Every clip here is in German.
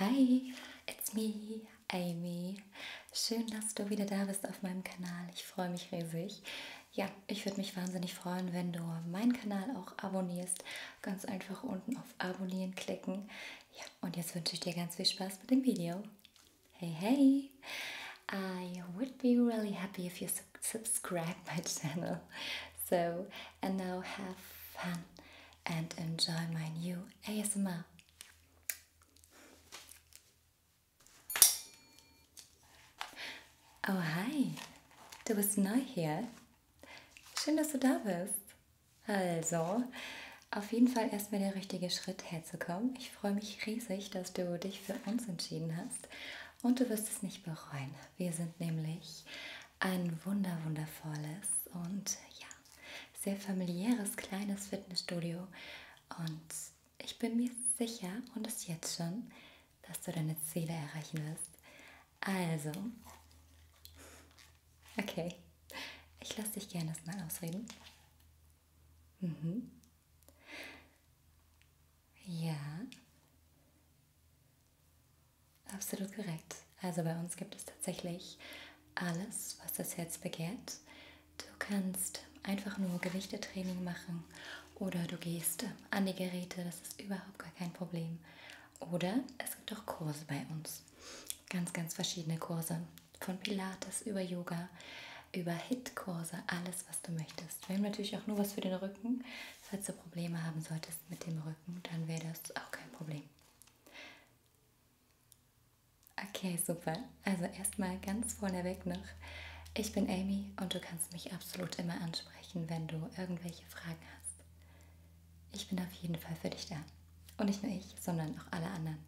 Hi, it's me, Amy. Schön, dass du wieder da bist auf meinem Kanal. Ich freue mich riesig. Ja, ich würde mich wahnsinnig freuen, wenn du meinen Kanal auch abonnierst. Ganz einfach unten auf Abonnieren klicken. Ja, und jetzt wünsche ich dir ganz viel Spaß mit dem Video. Hey, hey! I would be really happy if you subscribe my channel. So and now have fun and enjoy my new ASMR. Oh, hi, du bist neu hier. Schön, dass du da bist. Also, auf jeden Fall erstmal der richtige Schritt herzukommen. Ich freue mich riesig, dass du dich für uns entschieden hast und du wirst es nicht bereuen. Wir sind nämlich ein wunder wundervolles und ja, sehr familiäres kleines Fitnessstudio. Und ich bin mir sicher und es jetzt schon, dass du deine Ziele erreichen wirst. Also, okay, ich lasse dich gerne das mal ausreden. Mhm. Ja. Absolut korrekt. Also bei uns gibt es tatsächlich alles, was das Herz begehrt. Du kannst einfach nur Gewichtetraining machen oder du gehst an die Geräte, das ist überhaupt gar kein Problem. Oder es gibt auch Kurse bei uns. Ganz, ganz verschiedene Kurse. Von Pilates über Yoga, über HIT-Kurse, alles, was du möchtest. Wir haben natürlich auch nur was für den Rücken. Falls du Probleme haben solltest mit dem Rücken, dann wäre das auch kein Problem. Okay, super. Also erstmal ganz vorneweg noch. Ich bin Amy und du kannst mich absolut immer ansprechen, wenn du irgendwelche Fragen hast. Ich bin auf jeden Fall für dich da. Und nicht nur ich, sondern auch alle anderen.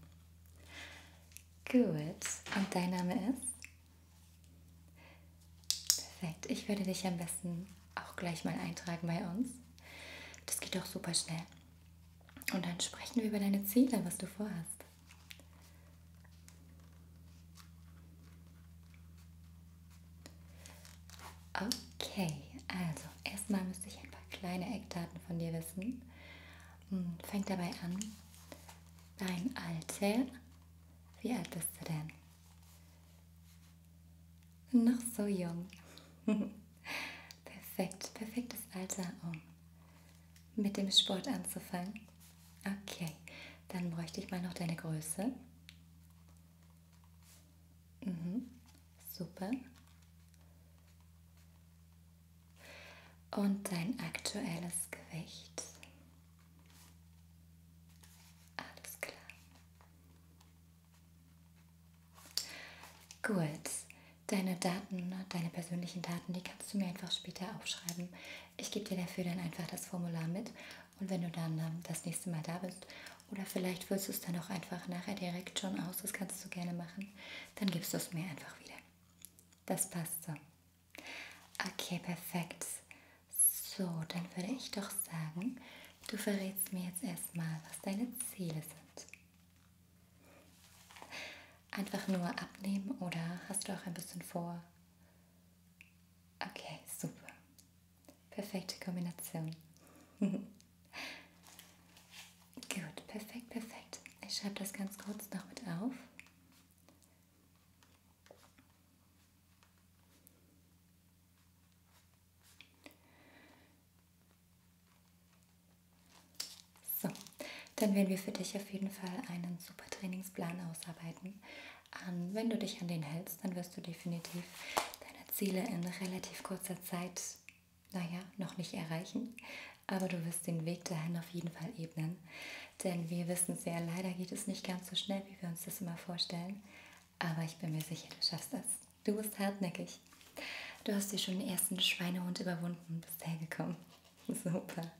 Gut. Und dein Name ist? Perfekt. Ich würde dich am besten auch gleich mal eintragen bei uns. Das geht auch super schnell. Und dann sprechen wir über deine Ziele, was du vorhast. Okay, also erstmal müsste ich ein paar kleine Eckdaten von dir wissen. Hm, fängt dabei an, dein Alter. Wie alt bist du denn? Noch so jung. Perfekt, perfektes Alter, um mit dem Sport anzufangen. Okay, dann bräuchte ich mal noch deine Größe. Mhm, super. Und dein aktuelles Gewicht. Alles klar. Gut, deine Daten, deine persönlichen Daten, die kannst du mir einfach später aufschreiben. Ich gebe dir dafür dann einfach das Formular mit und wenn du dann ähm, das nächste Mal da bist oder vielleicht füllst du es dann auch einfach nachher direkt schon aus, das kannst du gerne machen, dann gibst du es mir einfach wieder. Das passt so. Okay, perfekt. So, dann würde ich doch sagen, Du verrätst mir jetzt erstmal, was deine Ziele sind. Einfach nur abnehmen oder hast du auch ein bisschen vor? Okay, super. Perfekte Kombination. Gut, perfekt, perfekt. Ich schreibe das ganz kurz noch mit auf. So, dann werden wir für dich auf jeden Fall einen super Trainingsplan ausarbeiten. Ähm, wenn du dich an den hältst, dann wirst du definitiv deine Ziele in relativ kurzer Zeit, naja, noch nicht erreichen. Aber du wirst den Weg dahin auf jeden Fall ebnen. Denn wir wissen es ja, leider geht es nicht ganz so schnell, wie wir uns das immer vorstellen. Aber ich bin mir sicher, du schaffst das. Du bist hartnäckig. Du hast dir schon den ersten Schweinehund überwunden und bist hergekommen. Super.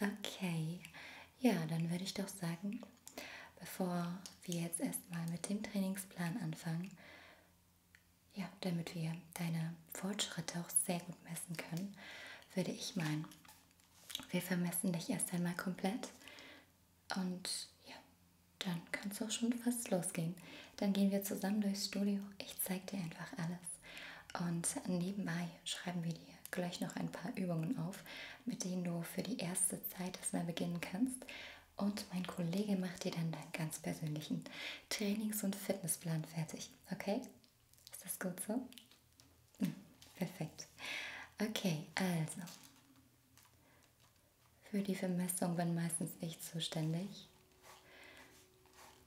Okay. Ja, dann würde ich doch sagen, bevor wir jetzt erstmal mit dem Trainingsplan anfangen, ja, damit wir deine Fortschritte auch sehr gut messen können, würde ich meinen, wir vermessen dich erst einmal komplett und ja, dann kann es auch schon fast losgehen. Dann gehen wir zusammen durchs Studio. Ich zeige dir einfach alles. Und nebenbei schreiben wir dir gleich noch ein paar Übungen auf, mit denen du für die erste Zeit erstmal beginnen kannst. Und mein Kollege macht dir dann deinen ganz persönlichen Trainings- und Fitnessplan fertig. Okay? Ist das gut so? Hm, perfekt. Okay, also. Für die Vermessung bin meistens ich zuständig.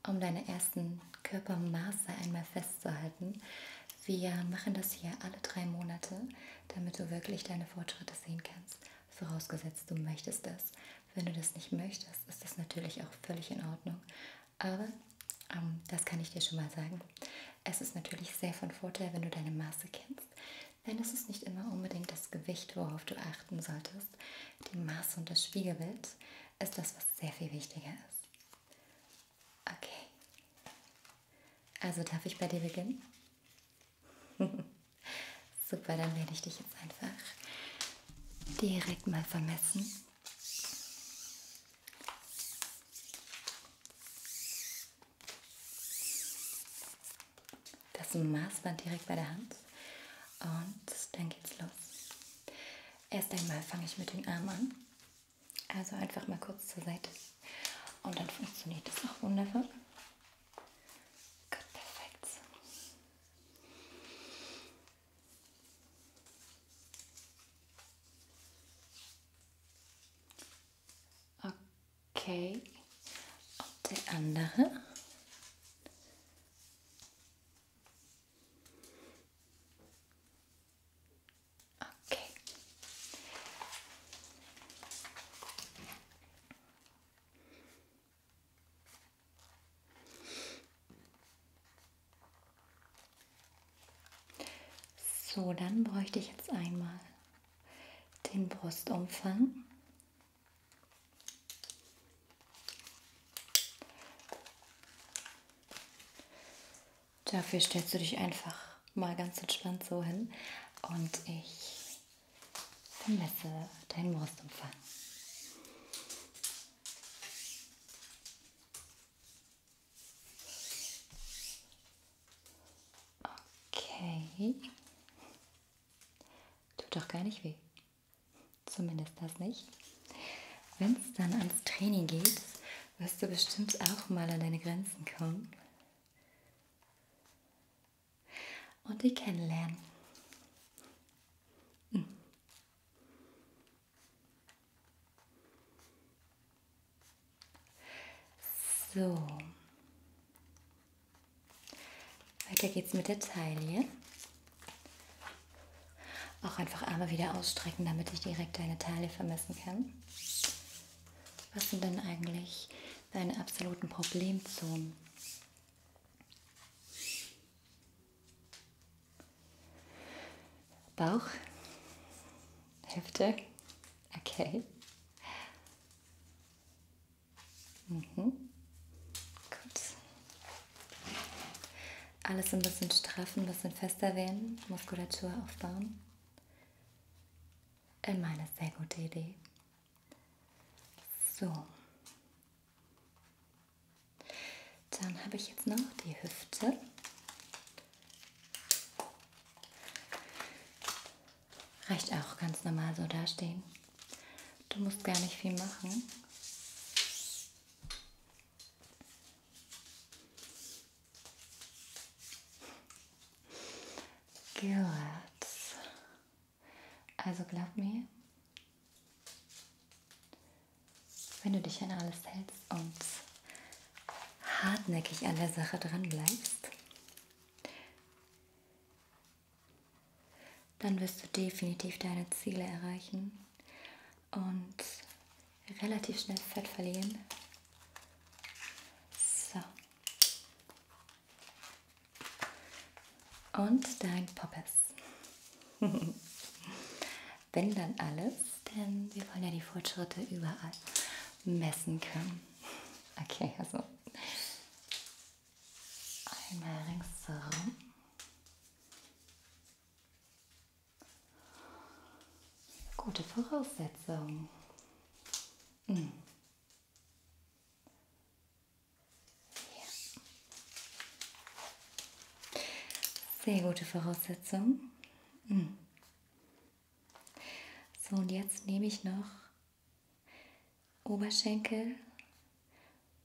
Um deine ersten Körpermaße einmal festzuhalten. Wir machen das hier alle drei Monate, damit du wirklich deine Fortschritte sehen kannst. Vorausgesetzt, du möchtest das. Wenn du das nicht möchtest, ist das natürlich auch völlig in Ordnung. Aber ähm, das kann ich dir schon mal sagen. Es ist natürlich sehr von Vorteil, wenn du deine Maße kennst. Denn es ist nicht immer unbedingt das Gewicht, worauf du achten solltest. Die Maß und das Spiegelbild ist das, was sehr viel wichtiger ist. Okay. Also darf ich bei dir beginnen? Super, dann werde ich dich jetzt einfach direkt mal vermessen. Das Maßband direkt bei der Hand. Und dann geht's los. Erst einmal fange ich mit den Armen an. Also einfach mal kurz zur Seite. Und dann funktioniert das auch wundervoll. Gut, perfekt. Okay. Und der andere. Okay. So, dann bräuchte ich jetzt einmal den Brustumfang. Dafür stellst du dich einfach mal ganz entspannt so hin und ich vermesse deinen Brustumfang. Okay. Tut doch gar nicht weh. Zumindest das nicht. Wenn es dann ans Training geht, wirst du bestimmt auch mal an deine Grenzen kommen. Und die kennenlernen. Hm. So. Weiter geht's mit der Taille. Auch einfach Arme wieder ausstrecken, damit ich direkt deine Taille vermessen kann. Was sind denn eigentlich deine absoluten Problemzonen? Bauch, Hüfte, okay. Mhm. Gut. Alles ein bisschen straffen, ein bisschen fester werden, Muskulatur aufbauen. In äh, meiner sehr gute Idee. So. Dann habe ich jetzt noch die Hüfte. Reicht auch ganz normal so dastehen. Du musst gar nicht viel machen. Gut. Also glaub mir, wenn du dich an alles hältst und hartnäckig an der Sache dran bleibst, dann wirst du definitiv deine Ziele erreichen und relativ schnell Fett verlieren. So. Und dein Poppes. Wenn dann alles, denn wir wollen ja die Fortschritte überall messen können. Okay, also einmal ringsherum. Gute Voraussetzung. Hm. Ja. Sehr gute Voraussetzung. Hm. So, und jetzt nehme ich noch Oberschenkel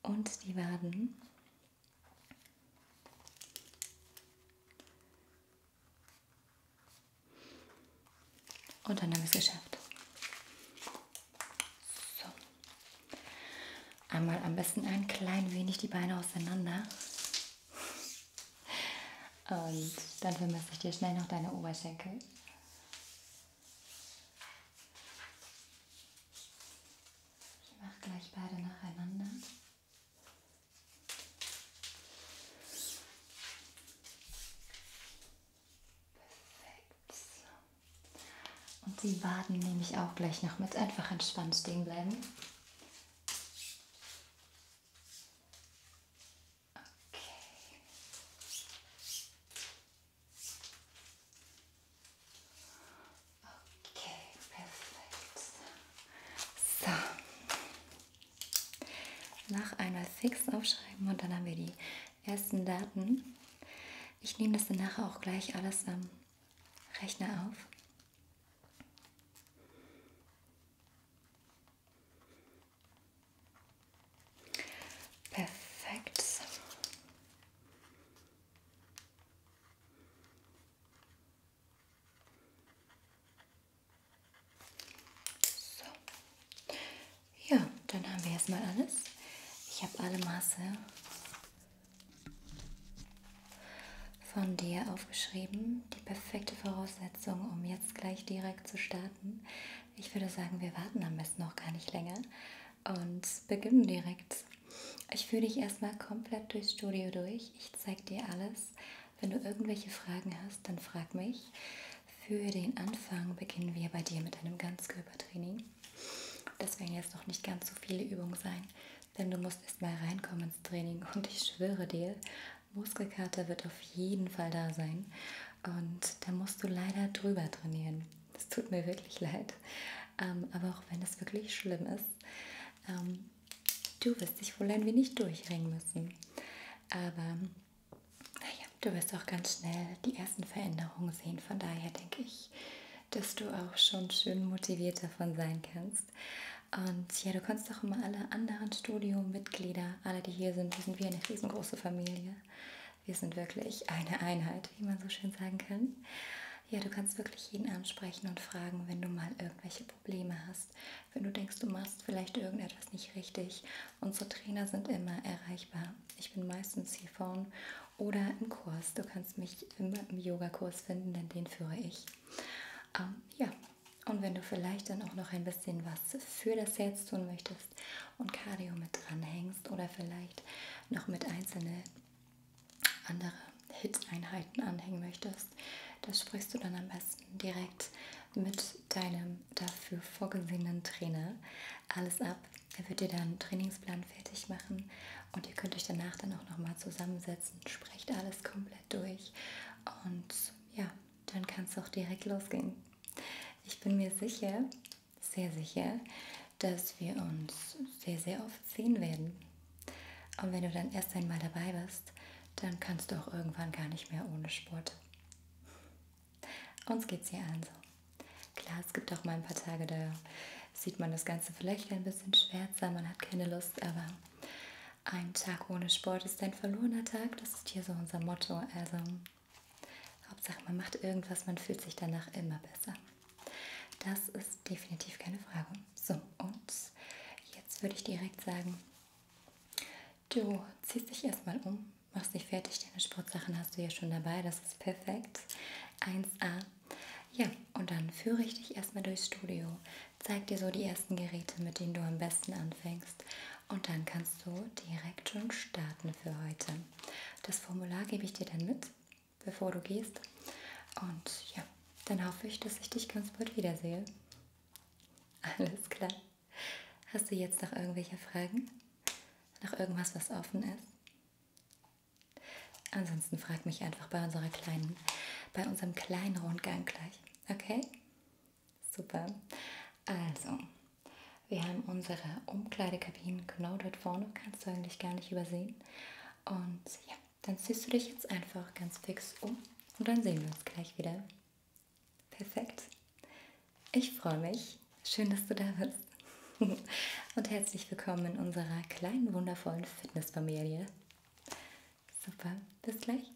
und die Waden. Und dann haben wir es geschafft. So. Einmal am besten ein klein wenig die Beine auseinander. Und dann vermisse ich dir schnell noch deine Oberschenkel. Ich mache gleich beide nacheinander. Perfekt. Und die Waden nehme ich auch gleich noch mit. Einfach entspannt stehen bleiben. Okay. Okay, perfekt. So. Nach einmal fix aufschreiben und dann haben wir die ersten Daten. Ich nehme das dann nachher auch gleich alles am Rechner auf. Perfekt. So. Ja, dann haben wir erstmal alles. Ich habe alle Maße von dir aufgeschrieben. Die perfekte Voraussetzung, um jetzt gleich direkt zu starten. Ich würde sagen, wir warten am besten noch gar nicht länger und beginnen direkt. Ich führe dich erstmal komplett durchs Studio durch. Ich zeige dir alles. Wenn du irgendwelche Fragen hast, dann frag mich. Für den Anfang beginnen wir bei dir mit einem Ganzkörpertraining. Das werden jetzt noch nicht ganz so viele Übungen sein, denn du musst erstmal reinkommen ins Training und ich schwöre dir, Muskelkater wird auf jeden Fall da sein und da musst du leider drüber trainieren. Es tut mir wirklich leid, ähm, aber auch wenn es wirklich schlimm ist, ähm, du wirst dich wohl ein wenig durchringen müssen. Aber naja, du wirst auch ganz schnell die ersten Veränderungen sehen. Von daher denke ich, dass du auch schon schön motiviert davon sein kannst. Und ja, du kannst auch immer alle anderen Studio-Mitglieder alle, die hier sind, wir sind wie eine riesengroße Familie. Wir sind wirklich eine Einheit, wie man so schön sagen kann. Ja, du kannst wirklich jeden ansprechen und fragen, wenn du mal irgendwelche Probleme hast, wenn du denkst, du machst vielleicht irgendetwas nicht richtig. Unsere Trainer sind immer erreichbar. Ich bin meistens hier vorne oder im Kurs. Du kannst mich immer im Yogakurs finden, denn den führe ich. Ähm, ja, und wenn du vielleicht dann auch noch ein bisschen was für das Herz tun möchtest und Cardio mit dranhängst oder vielleicht noch mit einzelne andere Hit-Einheiten anhängen möchtest, das sprichst du dann am besten direkt mit deinem dafür vorgesehenen Trainer alles ab. Er wird dir dann einen Trainingsplan fertig machen und ihr könnt euch danach dann auch nochmal zusammensetzen, sprecht alles komplett durch und ja, dann kann es auch direkt losgehen. Ich bin mir sicher, sehr sicher, dass wir uns sehr, sehr oft sehen werden. Und wenn du dann erst einmal dabei bist, dann kannst du auch irgendwann gar nicht mehr ohne Sport. Uns geht's hier allen so. Klar, es gibt auch mal ein paar Tage, da sieht man das Ganze vielleicht ein bisschen schwärzer, man hat keine Lust, aber ein Tag ohne Sport ist ein verlorener Tag, das ist hier so unser Motto. Also, Hauptsache, man macht irgendwas, man fühlt sich danach immer besser. Das ist definitiv keine Frage. So, und jetzt würde ich direkt sagen, du ziehst dich erstmal um, machst dich fertig, deine Sportsachen hast du ja schon dabei, das ist perfekt. 1A. Ja, und dann führe ich dich erstmal durchs Studio, zeig dir so die ersten Geräte, mit denen du am besten anfängst und dann kannst kannst du direkt schon starten für heute. Das Formular gebe ich dir dann mit, bevor du gehst. Und ja, dann hoffe ich, dass ich dich ganz bald wiedersehe. Alles klar. Hast du jetzt noch irgendwelche Fragen? Noch irgendwas, was offen ist? Ansonsten frag mich einfach bei unserer kleinen, bei unserem kleinen Rundgang gleich. Okay? Super. Also, wir haben unsere Umkleidekabinen genau dort vorne, kannst du eigentlich gar nicht übersehen. Und ja, dann ziehst du dich jetzt einfach ganz fix um und dann sehen wir uns gleich wieder. Perfekt. Ich freue mich. Schön, dass du da bist. Und herzlich willkommen in unserer kleinen, wundervollen Fitnessfamilie. Super, bis gleich.